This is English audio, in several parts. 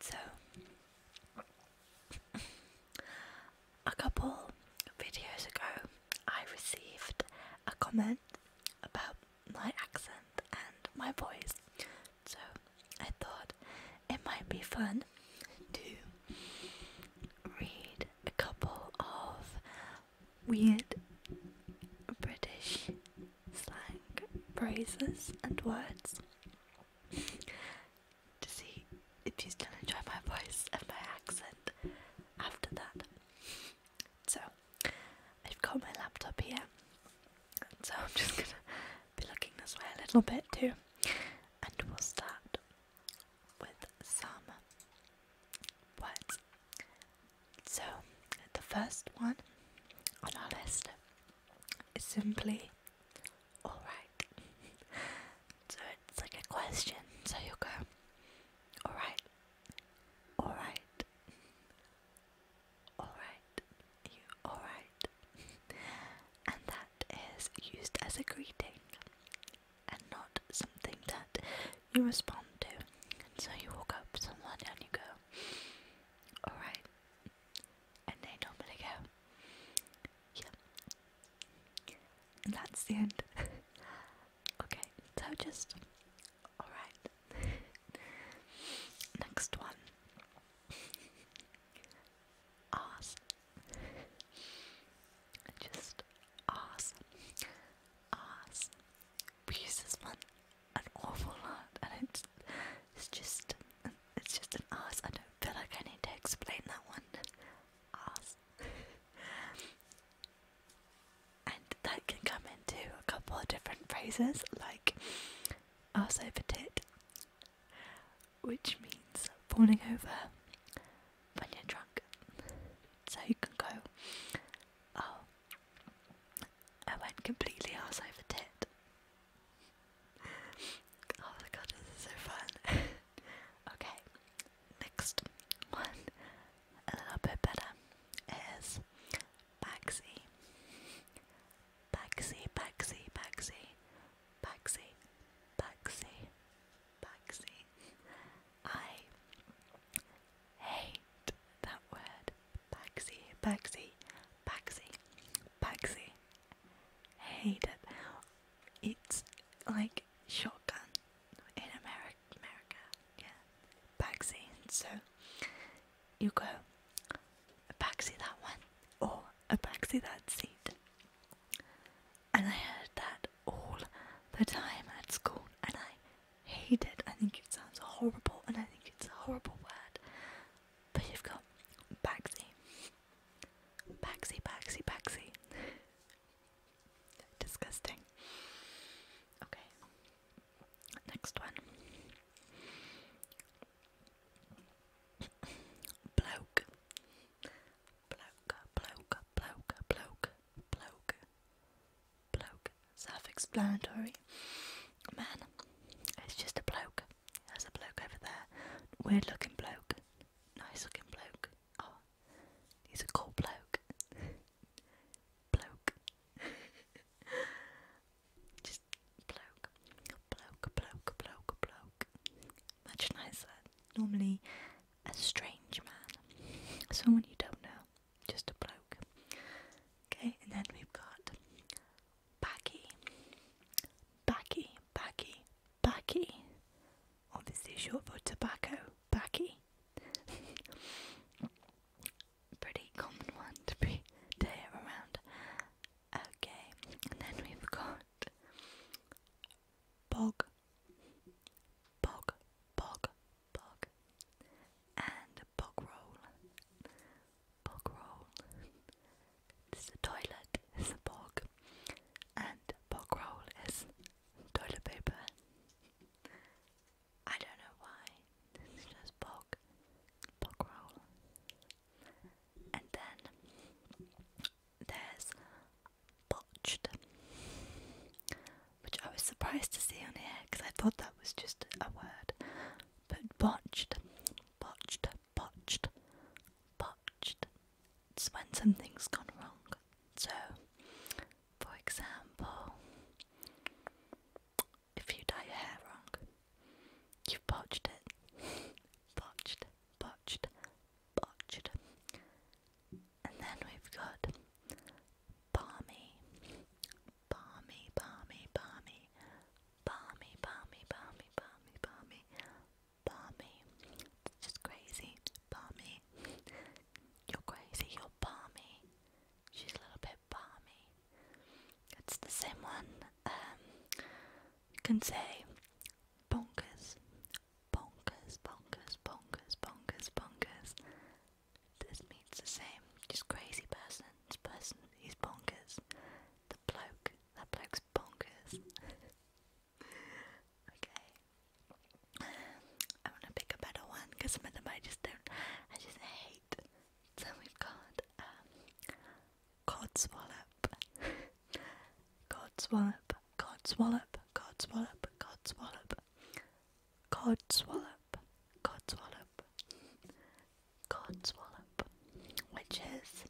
So, a couple videos ago, I received a comment about my accent and my voice. So, I thought it might be fun to read a couple of weird British slang phrases and words to see if you still enjoy my voice and my accent after that. So, I've got my laptop here, so I'm just gonna be looking this way a little bit too, and we'll start with some words so, the first one on our list is simply alright. so, it's like a question, so you go alright, alright, alright, alright. and that is used as a greeting and not something to you respond to. So you walk up to someone and you go, alright. And they normally go, yeah. And that's the end. okay, so just, alright. Next one. Ask. Just ask. Ask. We use this one an awful lot, and it's it's just it's just an ass. I don't feel like I need to explain that one. Ass. and that can come into a couple of different phrases, like ass over tit, which means falling over when you're drunk. So you can go, oh, I went completely ass over tit. oh my god, this is so fun. okay, next one, a little bit better, is Baxi. Baxi, Baxi, Baxi, Baxi, Baxi, Baxi. I hate that word. Paxi, Paxi, Paxi, Paxi. Hate it. It's like shotgun in America. yeah. Paxi. So you go a Paxi that one or a Paxi that seat. And I heard that all the time at school, and I hate it. I think it sounds horrible and I think it's a horrible word. But you've got Bagsy. Bagsy, Bagsy, Bagsy. Disgusting. Okay. Next one. bloke. Bloke, bloke, bloke, bloke, bloke, bloke, self-explanatory. Man, it's just a bloke. There's a bloke over there, weird-looking bloke, nice-looking bloke. Oh, he's a cool bloke. bloke. just bloke, bloke, bloke, bloke, bloke. Much nicer. Normally, a strange man, someone you don't know just a bloke. Okay, and then we've got baggy, baggy, baggy, baggy. Obviously, short for tobacco, baggy. Pretty common one to be to around. Okay, and then we've got bog, bog, bog, bog, and bog roll, bog roll. This the toilet is a bog, and bog roll is toilet paper. I don't know why. This just bog, bog roll, and then there's botched which I was surprised to see on here because I thought that was just a word. But botched, botched, botched, botched. It's when something's gone wrong. So, for example, if you dye your hair wrong, you've botched it. botched, botched, botched. And then we've got balmy, balmy, balmy, balmy, balmy, balmy, balmy, balmy, balmy, It's just crazy, balmy. You're crazy, you're balmy. She's a little bit balmy. It's the same one. Um, you can say bonkers, bonkers, bonkers, bonkers, bonkers, bonkers, this means the same. Just crazy person. This person, he's bonkers. The bloke, that bloke's bonkers. okay. I want to pick a better one because some of them I just don't, I just hate. So we've got um, Codswallop, Codswallop, Codswallop, Codswallop, Codswallop, codswallop, codswallop, codswallop, which is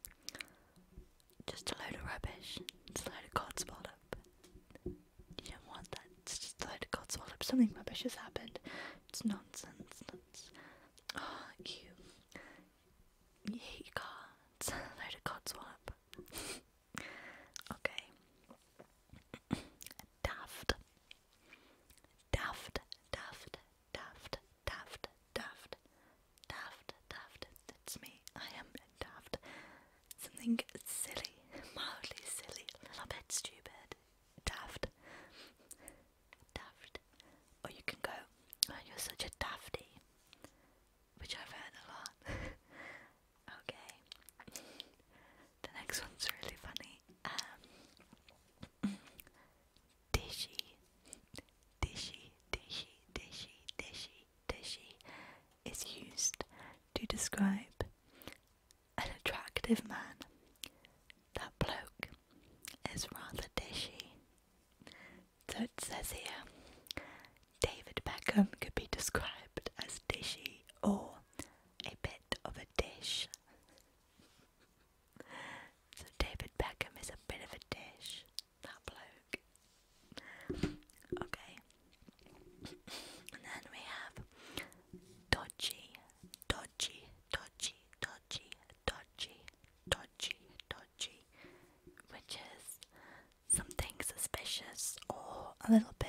just a load of rubbish. It's a load of codswallop. You don't want that. It's just a load of codswallop. Something rubbish has happened. It's nonsense. That's oh, you. You hate your car. It's a load of codswallop. okay. Daft. Daft, daft, daft, daft, daft, daft, daft. That's me. I am daft. Something silly, mildly silly, a little bit stupid. Daft, daft. Or you can go, oh, you're such a dafty, which I've heard a lot. okay. The next one's really funny. Um, dishy, dishy, dishy, dishy, dishy, dishy is used to describe an attractive man. That bloke is rather dishy. So it says here David Beckham could be described as dishy or a bit of a dish. so David Beckham is a bit of a dish. That bloke. Okay. and then we have dodgy, dodgy, dodgy, dodgy, dodgy, dodgy, dodgy, which is something suspicious or a little bit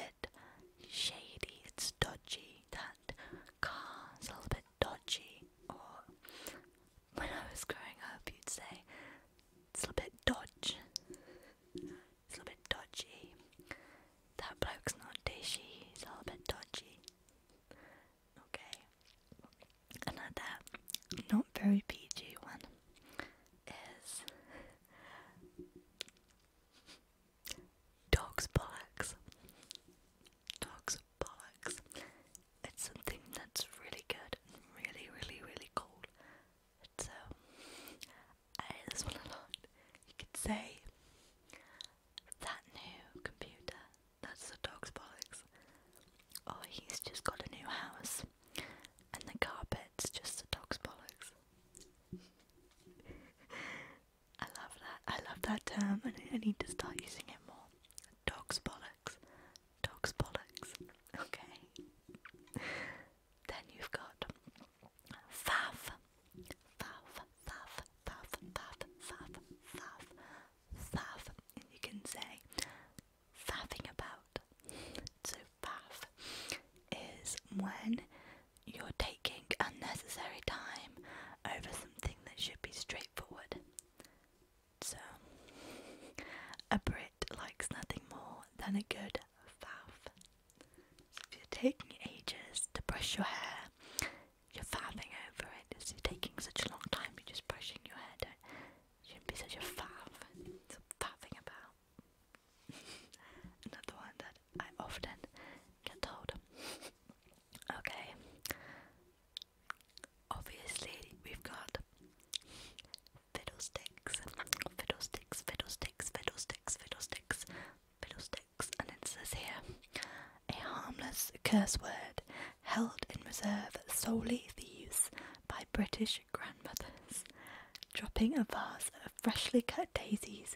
shady, it's dodgy. That car's a little bit dodgy. Or when I was growing up, you'd say it's a little bit dodge. It's a little bit dodgy. That bloke's not dishy, he's a little bit dodgy. Okay. And not very PG one is Dog's bollocks. Dog's bollocks. It's something that's really good really, really, really cool. So, um, I hate this one a lot. You could say, that new computer, that's the dog's bollocks. Or oh, he's just got a new house, and the carpet's just dog's bollocks. I love that. I love that term, and I need to start using it more. Dog's bollocks. Dog's bollocks. Okay. then you've got faff. Faff, faff, faff, faff, faff, faff, faff. And you can say faffing about. So faff is when you're taking unnecessary time over something that should be straightforward. So, a Brit likes nothing more than a good faff. if you're taking ages to brush your hair, you're faffing over it. It's taking such a long time, you're just brushing your hair. Don't, shouldn't be such a faff. faffing about. Another one that I often get told. okay. Obviously, we've got fiddlesticks, fiddlesticks, fiddlesticks, fiddlesticks, fiddlesticks, fiddlesticks, and it says here a harmless curse word held in reserve solely for use by British grandmothers. Dropping a vase of freshly cut daisies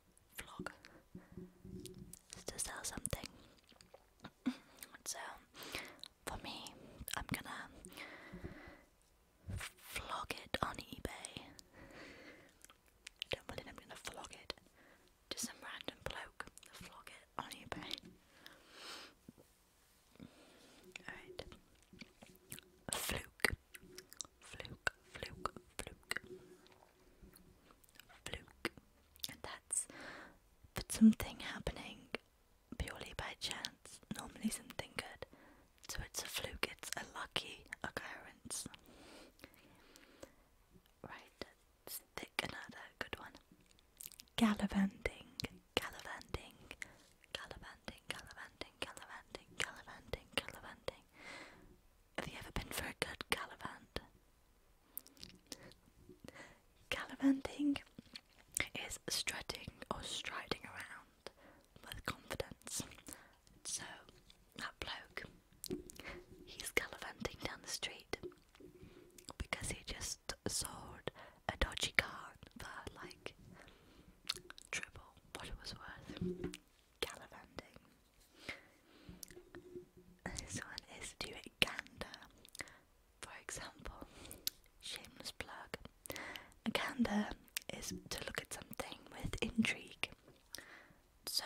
vlog to sell something. so, for me, I'm gonna vlog it on eBay. don't believe I'm gonna vlog it to some random bloke. Vlog it on eBay. Alright. Fluke. Fluke, fluke, fluke fluke. that's for something happening purely by chance, normally something good. So it's a fluke, it's a lucky occurrence. Right, let another good one. Gallivanting, gallivanting, gallivanting, gallivanting, gallivanting, gallivanting, gallivanting. Have you ever been for a good gallivant? Gallivanting is strutting or striding around with confidence. So, that bloke, he's calavanting down the street because he just sold a dodgy car for like triple what it was worth. Gallivanting. This one is to gander. For example, shameless plug. A gander is to look at something with intrigue. So,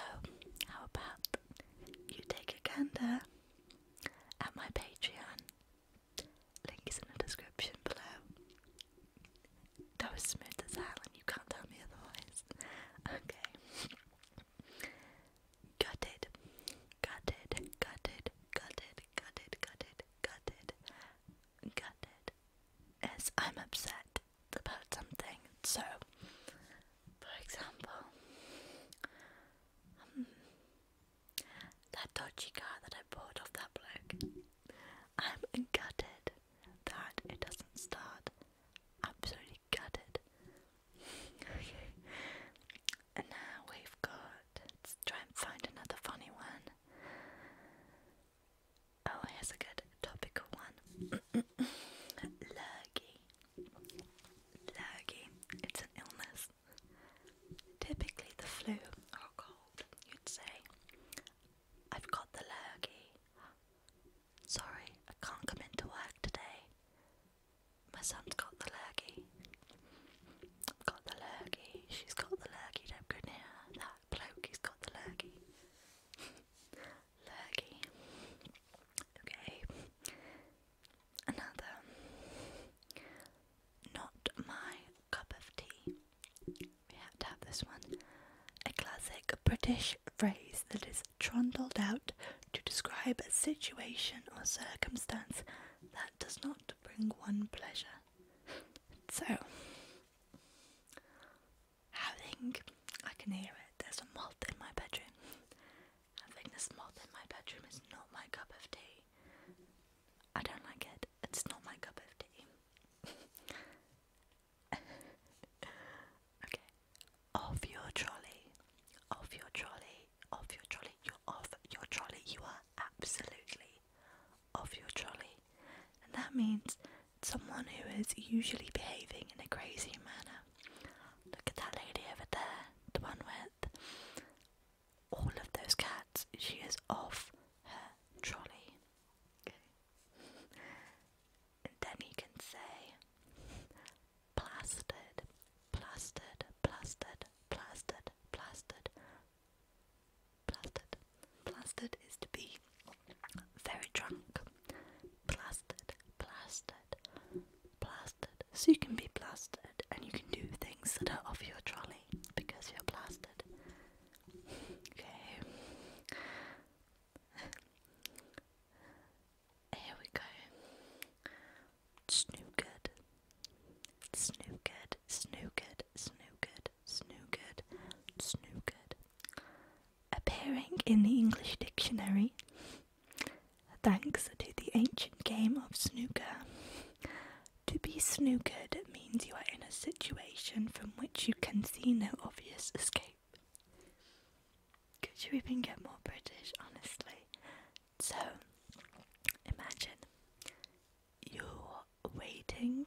how about you take a gander at my Patreon? Link is in the description below. That was smooth as hell, and you can't tell me otherwise. Okay. Gutted, gutted, gutted, gutted, gutted, gutted, gutted, gutted. Is I'm upset about something. So, for example, um, that dodgy car that I bought off that bloke. I'm gutted that it doesn't start. Absolutely gutted. And now we've got. Let's try and find another funny one. Oh, here's a good topical one. Lurgy. Lurgy. It's an illness. Typically the flu or oh, cold, you'd say. I've got the lurgy. Sorry, I can't come into work today. My son's got the lurgy. got the lurgy. She's got the lurgy. Don't go near that bloke. He's got the lurgy. lurgy. Okay. Another. Not my cup of tea. We have to have this one. A classic British phrase that is trundled out to describe a situation or circumstance that does not bring one pleasure. So, having, I can hear it, there's a moth in my bedroom. Having this moth in my bedroom is not my cup of tea. I don't like it, it's not my cup of tea. Okay. Off your trolley. Off your trolley. Off your trolley. You're off your trolley. You are absolutely off your trolley. And that means someone who is usually behaving in a crazy manner. Look at that lady over there, the one with all of those cats. She is off her trolley. Okay and then you can say plastered, plastered, plastered, plastered, plastered, plastered. Plastered is to be very drunk. Plastered, plastered, plastered. So you can be plastered and you can do things that are off your trolley because you're plastered. Okay. Here we go. Snookered. Snookered. Snookered. Snookered. Snookered. Snookered. Appearing in the English dictionary, thanks to the ancient game of snooker. To be snookered means you are in a situation from which you can see no obvious escape. Could you even get more British, honestly? So, imagine you're waiting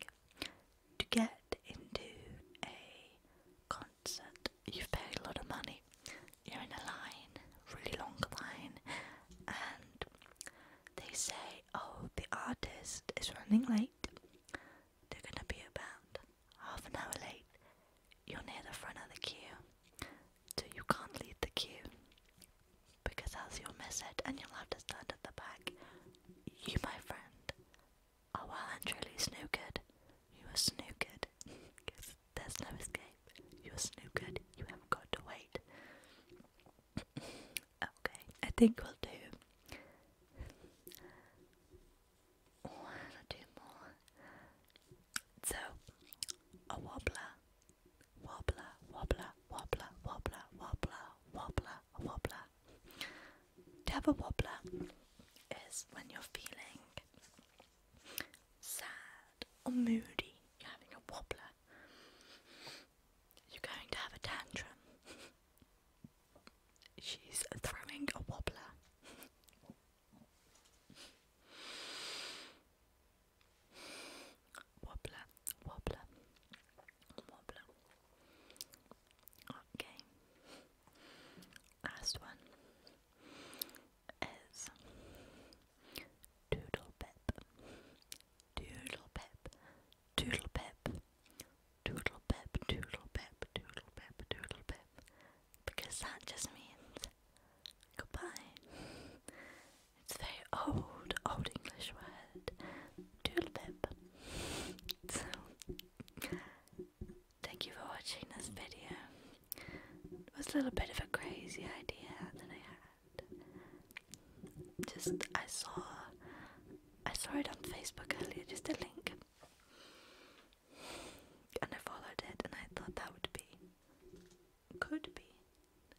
to get into a concert. You've paid a lot of money. You're in a line, really long line, and they say, Oh, the artist is running late. They're gonna be about Half an hour late, you're near the front of the queue, so you can't leave the queue because else you'll miss and you'll have to stand at the back. You, my friend, are well and truly snookered. You are snookered. There's no escape. You are snookered. You have got to wait. okay, I think we'll do. One or two more. So, a wobbler, wobbler, wobbler, wobbler, wobbler, wobbler, wobbler, wobbler. To have a wobbler is when you're feeling sad or moody. You're having a wobbler. You're going to have a tantrum. She's throwing a wobbler. Wobbler, wobbler, wobbler. Okay. Last one is Doodle peep, Doodle peep, Doodle peep, Doodle peep, Doodle peep, Doodle Pip. Doodle Pip because that just means goodbye. It's a very old, old English word, tulip. So, thank you for watching this video. It was a little bit of a crazy idea that I had. Just I saw, I saw it on Facebook earlier. Just a link. And I followed it, and I thought that would be, could be,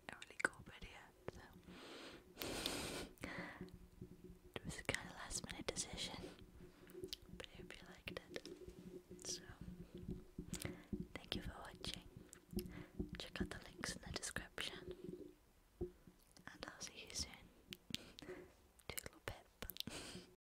a really cool video. it was kind of last minute decision, but I hope you liked it. So thank you for watching. Check out the links in the description, and I'll see you soon. Toodle pip.